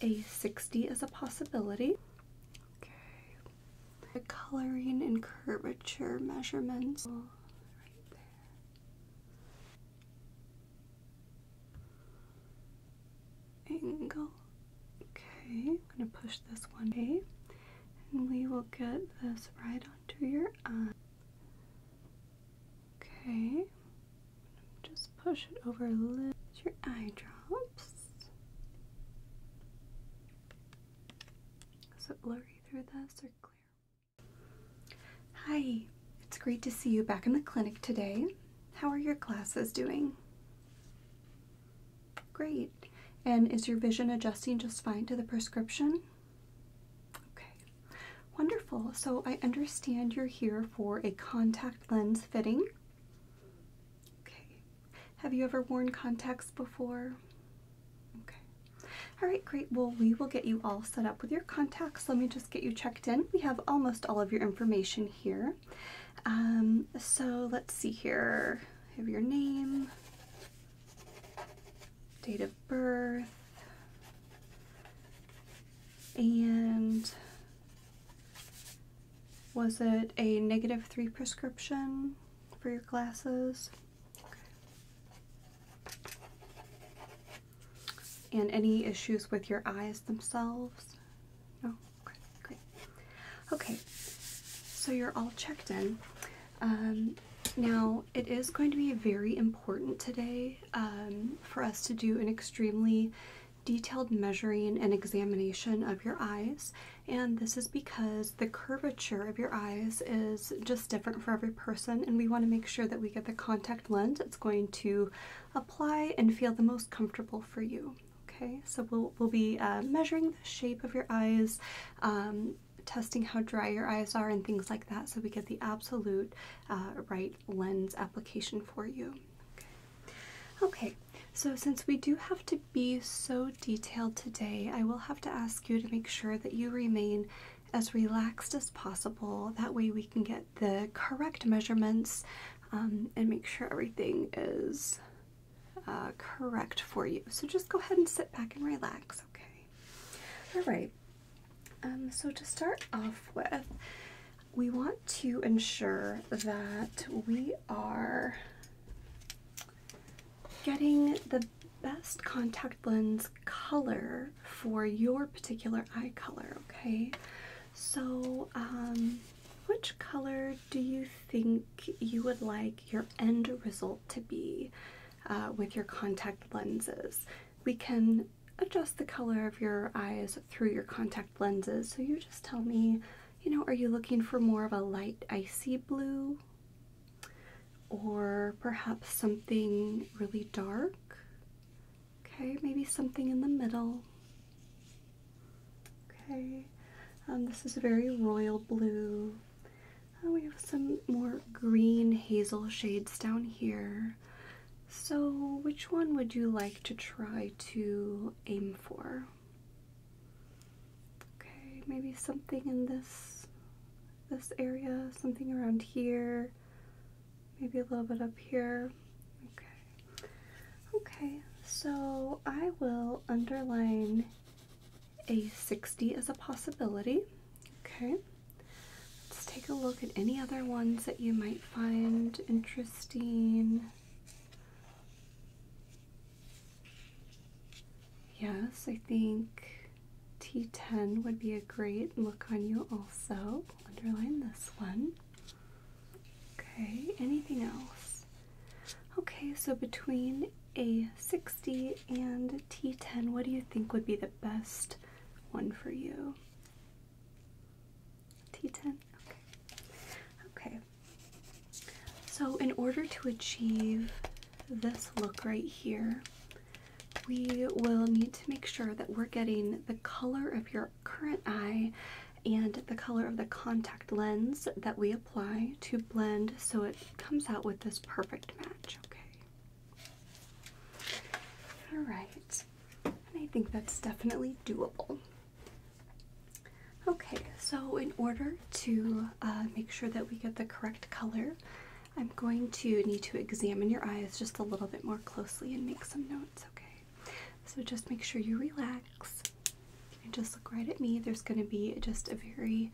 A 60 is a possibility. Okay. The coloring and curvature measurements. Oh, right there. Angle. Okay, I'm gonna push this one A and we will get this right under your eye. Okay, just push it over a little. Your eye drops. Is blurry through this or Hi, it's great to see you back in the clinic today. How are your glasses doing? Great. And is your vision adjusting just fine to the prescription? Okay, wonderful. So I understand you're here for a contact lens fitting. Okay. Have you ever worn contacts before? Okay. All right, great. Well, we will get you all set up with your contacts. Let me just get you checked in. We have almost all of your information here. Um, so let's see here. have your name, date of birth, and was it a negative three prescription for your glasses? And any issues with your eyes themselves? No? Okay, great. Okay, so you're all checked in. Um, now, it is going to be very important today um, for us to do an extremely detailed measuring and examination of your eyes, and this is because the curvature of your eyes is just different for every person, and we want to make sure that we get the contact lens that's going to apply and feel the most comfortable for you. Okay, so we'll, we'll be uh, measuring the shape of your eyes, um, testing how dry your eyes are, and things like that, so we get the absolute uh, right lens application for you. Okay. Okay, so since we do have to be so detailed today, I will have to ask you to make sure that you remain as relaxed as possible. That way, we can get the correct measurements um, and make sure everything is uh, correct for you. So just go ahead and sit back and relax, okay? All right. Um, so to start off with, we want to ensure that we are getting the best contact lens color for your particular eye color, okay? So, um, which color do you think you would like your end result to be uh, with your contact lenses? We can adjust the color of your eyes through your contact lenses. So you just tell me, you know, are you looking for more of a light icy blue? Or perhaps something really dark? Okay, maybe something in the middle. Okay, um, this is very royal blue. Uh, we have some more green hazel shades down here. So, which one would you like to try to aim for? Okay, maybe something in this this area, something around here, maybe a little bit up here. Okay. Okay, so I will underline a 60 as a possibility. Okay. Let's take a look at any other ones that you might find interesting. Yes, I think T10 would be a great look on you also. Underline this one. Okay, anything else? Okay, so between a 60 and T10, what do you think would be the best one for you? T10? Okay. So, in order to achieve this look right here, we will need to make sure that we're getting the color of your current eye and the color of the contact lens that we apply to blend so it comes out with this perfect match, okay? All right, and I think that's definitely doable. Okay, so in order to uh, make sure that we get the correct color, I'm going to need to examine your eyes just a little bit more closely and make some notes, okay? So just make sure you relax. You just look right at me. There's going to be just a very,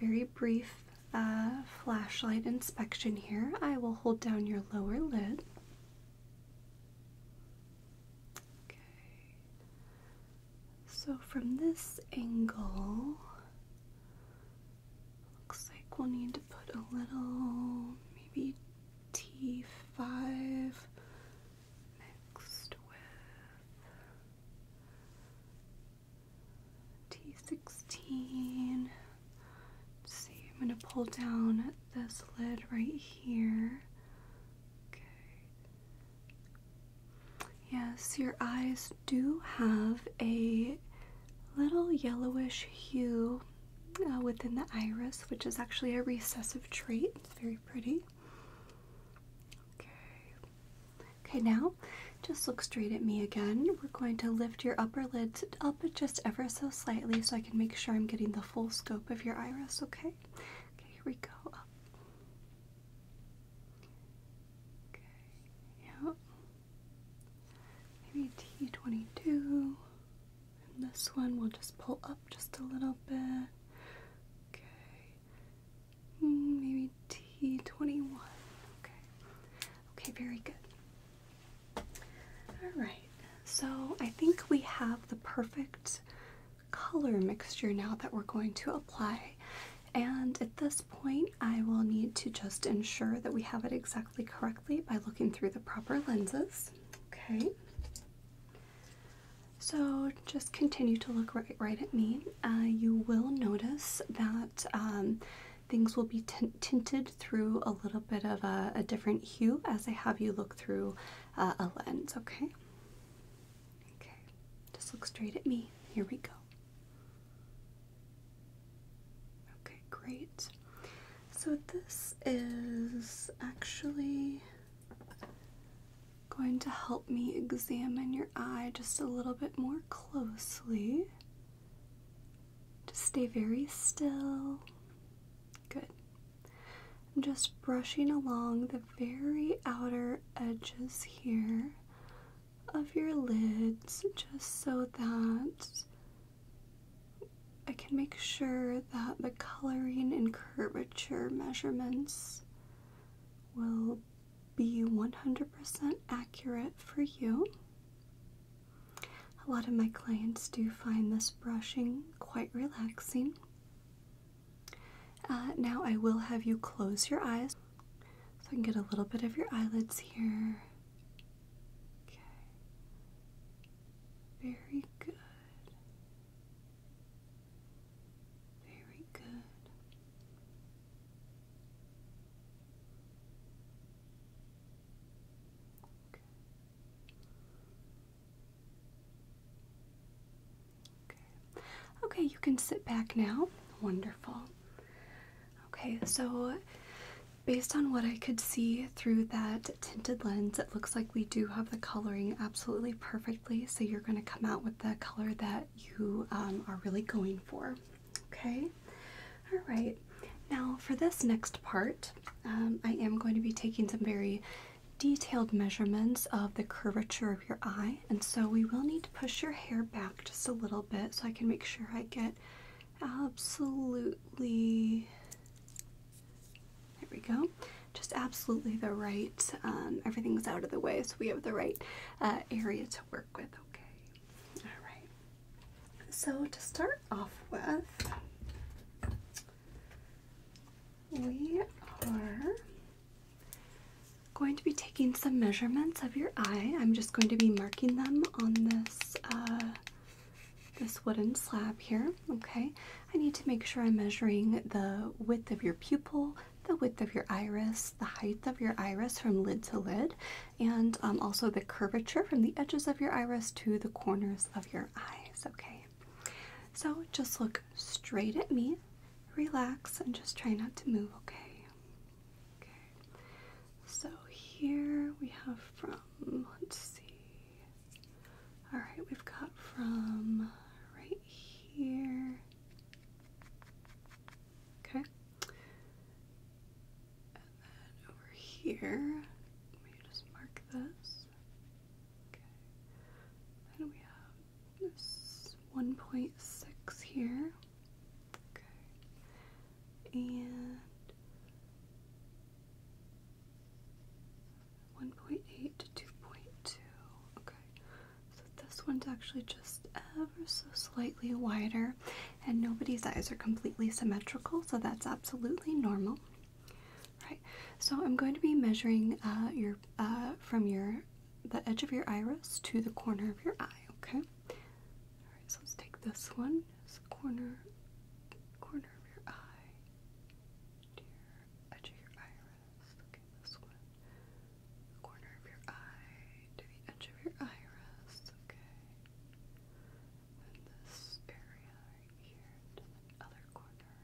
very brief uh, flashlight inspection here. I will hold down your lower lid. Okay. So from this angle, looks like we'll need to put a little, maybe T5 mixed with T16 see, I'm going to pull down this lid right here. Okay. Yes, your eyes do have a little yellowish hue uh, within the iris, which is actually a recessive trait. It's very pretty. Okay. Okay, now just look straight at me again. We're going to lift your upper lids up just ever so slightly so I can make sure I'm getting the full scope of your iris, okay? Okay, here we go. Okay, yeah. Maybe T22. And this one we'll just pull up just a little bit. Okay. Mm, maybe T21. Okay. Okay, very good. Alright, so I think we have the perfect color mixture now that we're going to apply. And at this point, I will need to just ensure that we have it exactly correctly by looking through the proper lenses. Okay. So just continue to look right, right at me. Uh, you will notice that um, things will be tinted through a little bit of a, different hue as I have you look through uh, a lens, okay? Okay, just look straight at me. Here we go. Okay, great. So this is actually going to help me examine your eye just a little bit more closely. Just stay very still. Good. I'm just brushing along the very outer edges here of your lids just so that I can make sure that the coloring and curvature measurements will be 100% accurate for you. A lot of my clients do find this brushing quite relaxing. Uh, now, I will have you close your eyes so I can get a little bit of your eyelids here. Okay. Very good. Very good. Okay. Okay, you can sit back now. Wonderful. Okay, so based on what I could see through that tinted lens, it looks like we do have the coloring absolutely perfectly. So you're going to come out with the color that you um, are really going for. Okay. All right. Now, for this next part, um, I am going to be taking some very detailed measurements of the curvature of your eye, and so we will need to push your hair back just a little bit so I can make sure I get absolutely. There we go. Just absolutely the right, um, everything's out of the way, so we have the right uh, area to work with, okay? All right. So, to start off with, we are going to be taking some measurements of your eye. I'm just going to be marking them on this uh, this wooden slab here. Okay, I need to make sure I'm measuring the width of your pupil, the width of your iris, the height of your iris from lid to lid, and um, also the curvature from the edges of your iris to the corners of your eyes, okay? So just look straight at me, relax, and just try not to move, okay? Okay. So here we have from, let's see. Alright, we've got from right here. Okay. And then over here, let me just mark this. Okay. Then we have this 1.6 here. Okay. And 1.8 to 2.2. Okay. So this one's actually just ever so slightly wider, and nobody's eyes are completely symmetrical, so that's absolutely normal. Right. So I'm going to be measuring uh, your uh, from your the edge of your iris to the corner of your eye. Okay. All right. So let's take this one. corner, corner of your eye. edge of your iris. Okay. This one. Corner of your eye to the edge of your iris. Okay this area right here to the other corner.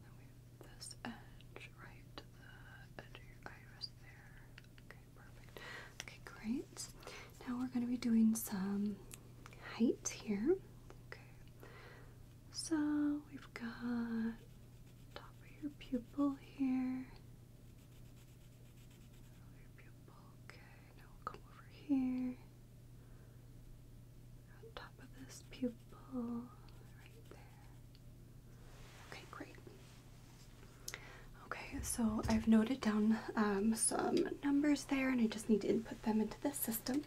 Then we have this edge right to the edge of your iris there. Okay, perfect. Okay, great. Now we're going to be doing some height here. Okay. So we've got top of your pupil here. Okay, now we'll come over here. On top of this pupil, right there. Okay, great. Okay, so I've noted down some numbers there, and I just need to input them into the system.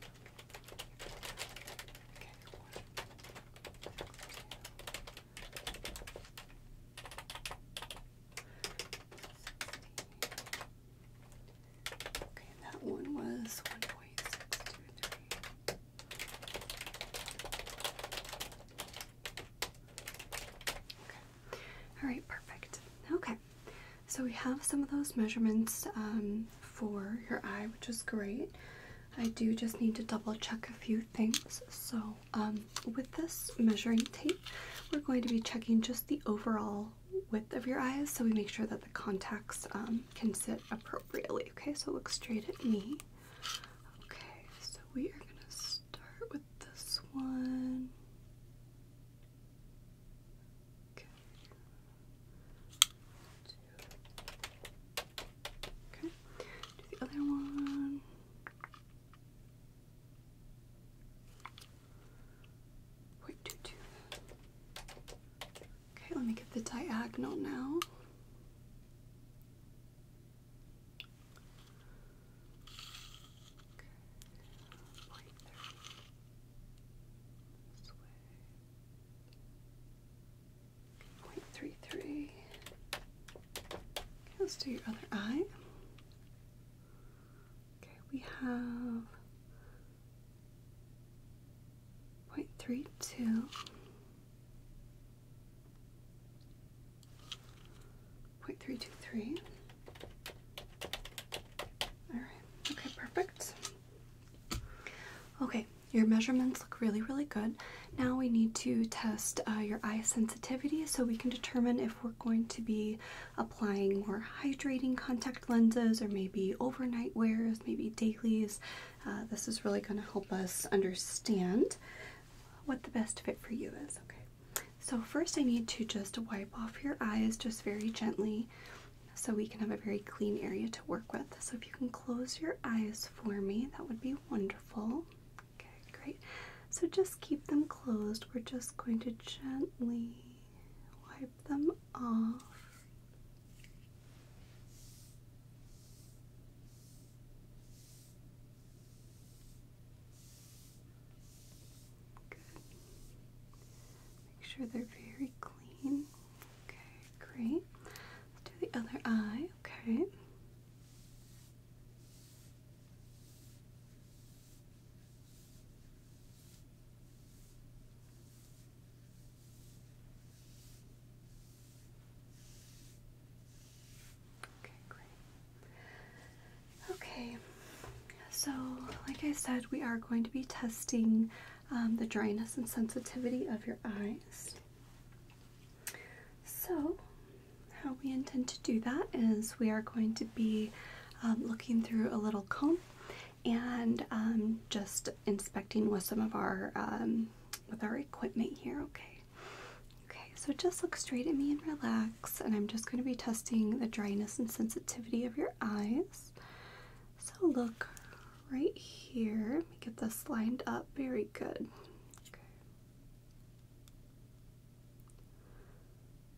Okay, that one was 1.623. All right, perfect. Okay. So we have some of those measurements um, for your eye, which is great. I do just need to double check a few things. So um, with this measuring tape, we're going to be checking just the overall width of your eyes, so we make sure that the contacts um, can sit appropriately. Okay, so look straight at me. Okay, so we are gonna start with this one. Okay. Do the other one. Wait, Okay, let me get the diagonal now. Okay. Point three three. Okay, let's do your other eye. Okay, we have 0.32, 0.323. All right, okay, perfect. Okay, your measurements look really, really good. Now we need to test uh, your eye sensitivity so we can determine if we're going to be applying more hydrating contact lenses or maybe overnight wears, maybe dailies. Uh, this is really going to help us understand what the best fit for you is. Okay, so first I need to just wipe off your eyes just very gently so we can have a very clean area to work with. So if you can close your eyes for me, that would be wonderful. Okay, great. So just keep them closed. We're just going to gently wipe them off. Good. Make sure they're very clean. Okay, great. Let's do the other eye. Okay. Okay, Okay, so like I said, we are going to be testing um, the dryness and sensitivity of your eyes. So, how we intend to do that is we are going to be um, looking through a little comb and um, just inspecting with some of our um, with our equipment here. Okay. Okay. So just look straight at me and relax. And I'm just going to be testing the dryness and sensitivity of your eyes. So look right here. get this lined up. Very good. Okay.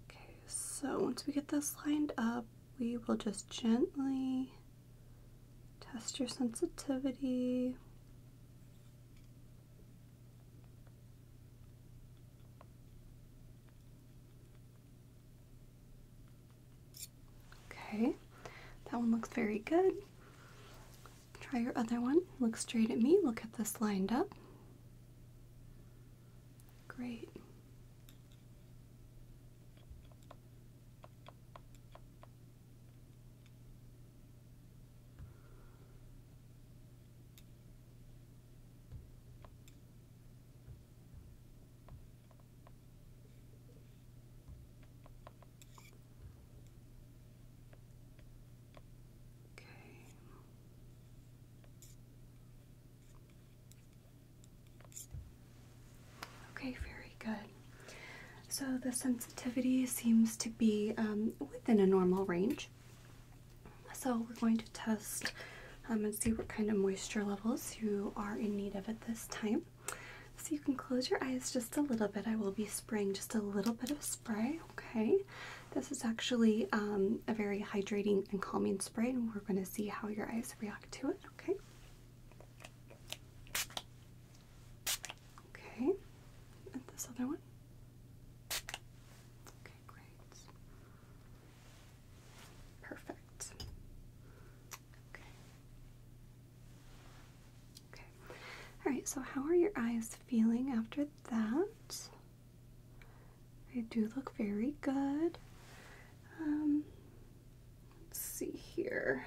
Okay, so once we get this lined up, we will just gently test your sensitivity. Okay, that one looks very good. Try your other one. Look straight at me. Look at this lined up. Great. Okay. Okay, very good. So the sensitivity seems to be um, within a normal range. So we're going to test um, and see what kind of moisture levels you are in need of at this time. So you can close your eyes just a little bit. I will be spraying just a little bit of spray, okay? This is actually um, a very hydrating and calming spray, and we're going to see how your eyes react to it. Okay. Okay. And this other one. Okay, great. Perfect. Okay. Okay. All right. So, how are your eyes feeling after that? They do look very good. Um, let's see here.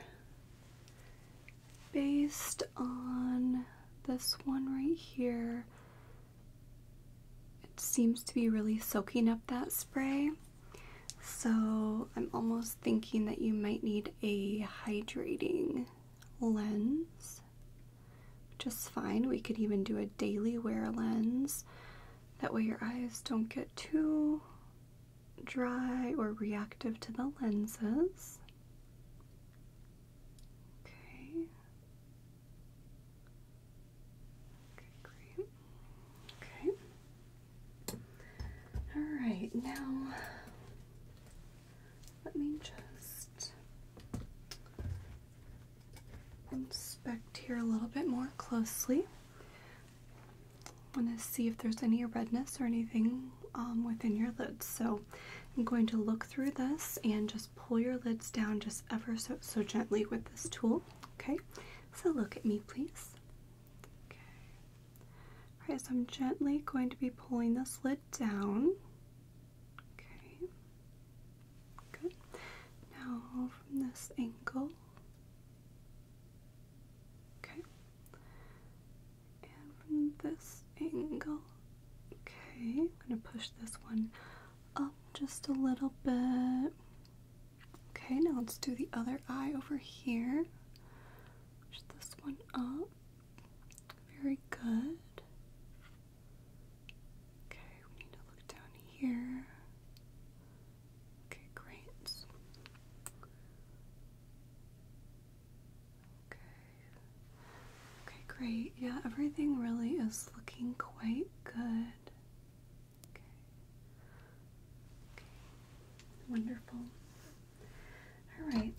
Based on this one right here, it seems to be really soaking up that spray. So I'm almost thinking that you might need a hydrating lens just fine. We could even do a daily wear lens. That way your eyes don't get too dry or reactive to the lenses. Okay. Okay, great. Okay. All right, now let me just inspect here a little bit more closely. want to see if there's any redness or anything um, within your lids. So I'm going to look through this and just pull your lids down just ever so, so gently with this tool. Okay, so look at me please. Okay. Alright, so I'm gently going to be pulling this lid down. Okay. Good. Now from this angle. Okay. And from this angle. Okay, I'm going to push this one up just a little bit. Okay, now let's do the other eye over here. Push this one up. Very good. Okay, we need to look down here. Okay, great. Okay. Okay, great. Yeah, everything really is looking quite good. Okay. Wonderful. All right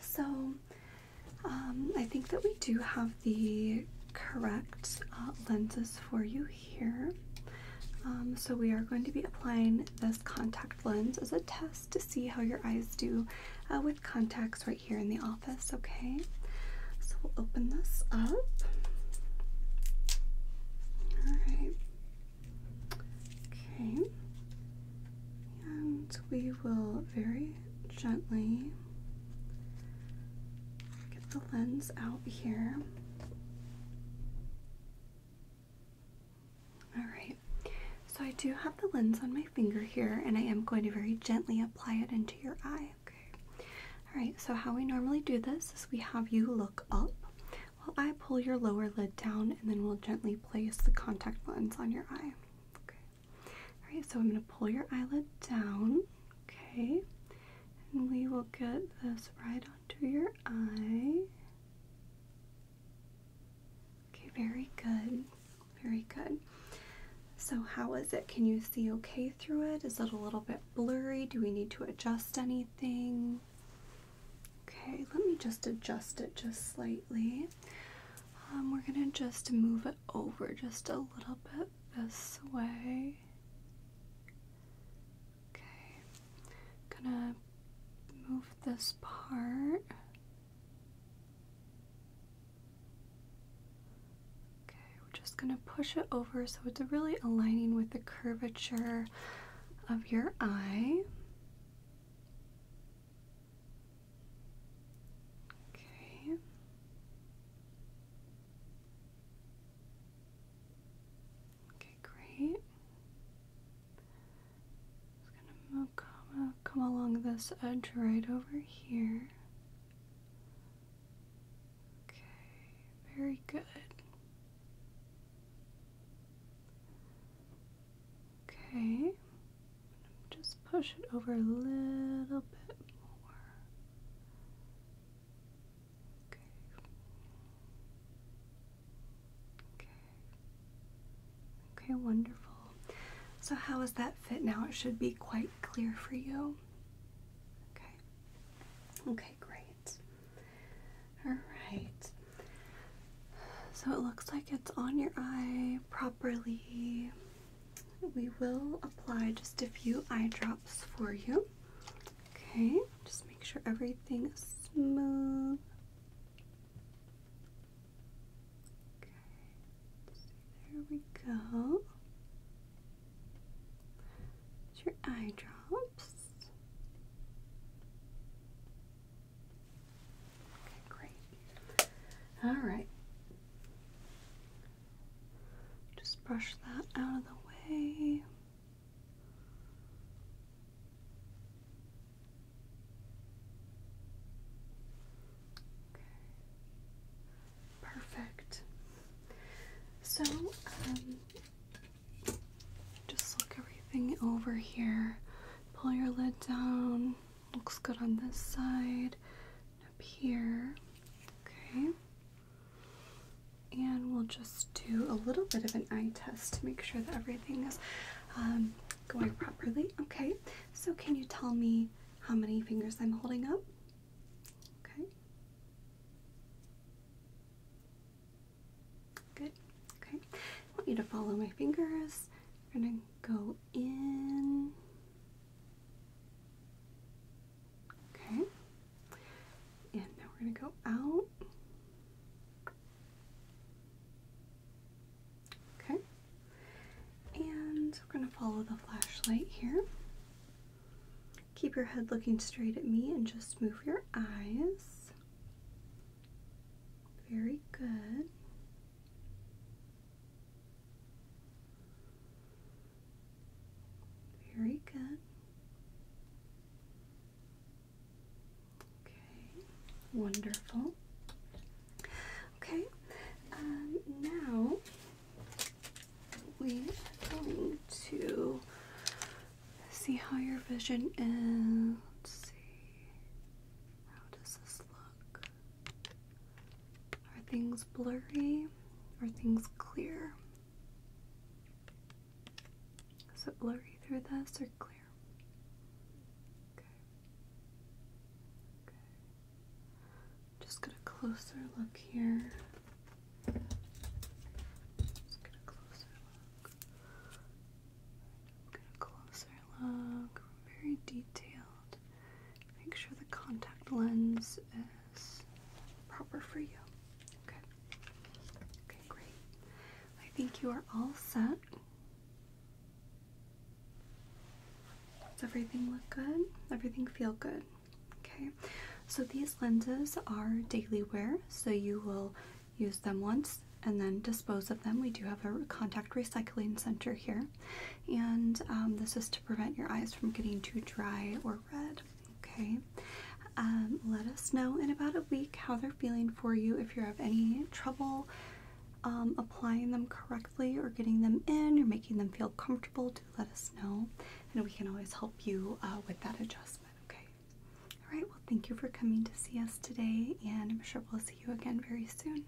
so um, I think that we do have the correct uh, lenses for you here. Um, so we are going to be applying this contact lens as a test to see how your eyes do uh, with contacts right here in the office, okay? So we'll open this up. All right. Okay. And we will very gently Get the lens out here. Alright, so I do have the lens on my finger here, and I am going to very gently apply it into your eye. Okay. Alright, so how we normally do this is we have you look up while I pull your lower lid down, and then we'll gently place the contact lens on your eye. Okay. All right, so I'm going to pull your eyelid down, okay, and we will get this right onto your eye. Okay, very good, very good. So, how is it? Can you see okay through it? Is it a little bit blurry? Do we need to adjust anything? Okay, let me just adjust it just slightly. Um, we're gonna just move it over just a little bit this way. Okay, gonna move this part. Okay, we're just gonna push it over so it's really aligning with the curvature of your eye. Okay. Okay, great. Just gonna come, come along this edge right over here. Okay, very good. Okay. Just push it over a little bit more. Okay. Okay. Okay, wonderful. So, how is that fit now? It should be quite clear for you. Okay. Okay, great. All right. So, it looks like it's on your eye properly we will apply just a few eye drops for you. Okay, just make sure everything is smooth. Okay, there we go. It's your eye drops. Okay, great. All right, just brush that out of the way. Okay. Perfect. So, um, just look everything over here. Pull your lid down. Looks good on this side up here. Okay. And we'll just do a little bit of an eye test to make sure that everything is um, going properly. Okay. So can you tell me how many fingers I'm holding up? Okay. Good. Okay. I want you to follow my fingers. We're gonna go in Okay. And now we're going to go out. Okay. And we're going to follow the flashlight here. Keep your head looking straight at me and just move your eyes. Very good. Very good. Okay, wonderful. Okay, um, now we are going to see how your vision is. Let's see. How does this look? Are things blurry? Are things clear? Is it blurry through this or clear? Okay. Okay. Just get a closer look here. Just get a closer look. Get a closer very detailed. Make sure the contact lens is proper for you. Okay. Okay, great. I think you are all set. Does everything look good? Everything feel good? Okay. So these lenses are daily wear, so you will use them once and then dispose of them. We do have a contact recycling center here and um, this is to prevent your eyes from getting too dry or red. Okay. Um, let us know in about a week how they're feeling for you. If you have any trouble um, applying them correctly or getting them in or making them feel comfortable, do let us know. And we can always help you uh, with that adjustment. Okay. All right. Well, thank you for coming to see us today. And I'm sure we'll see you again very soon.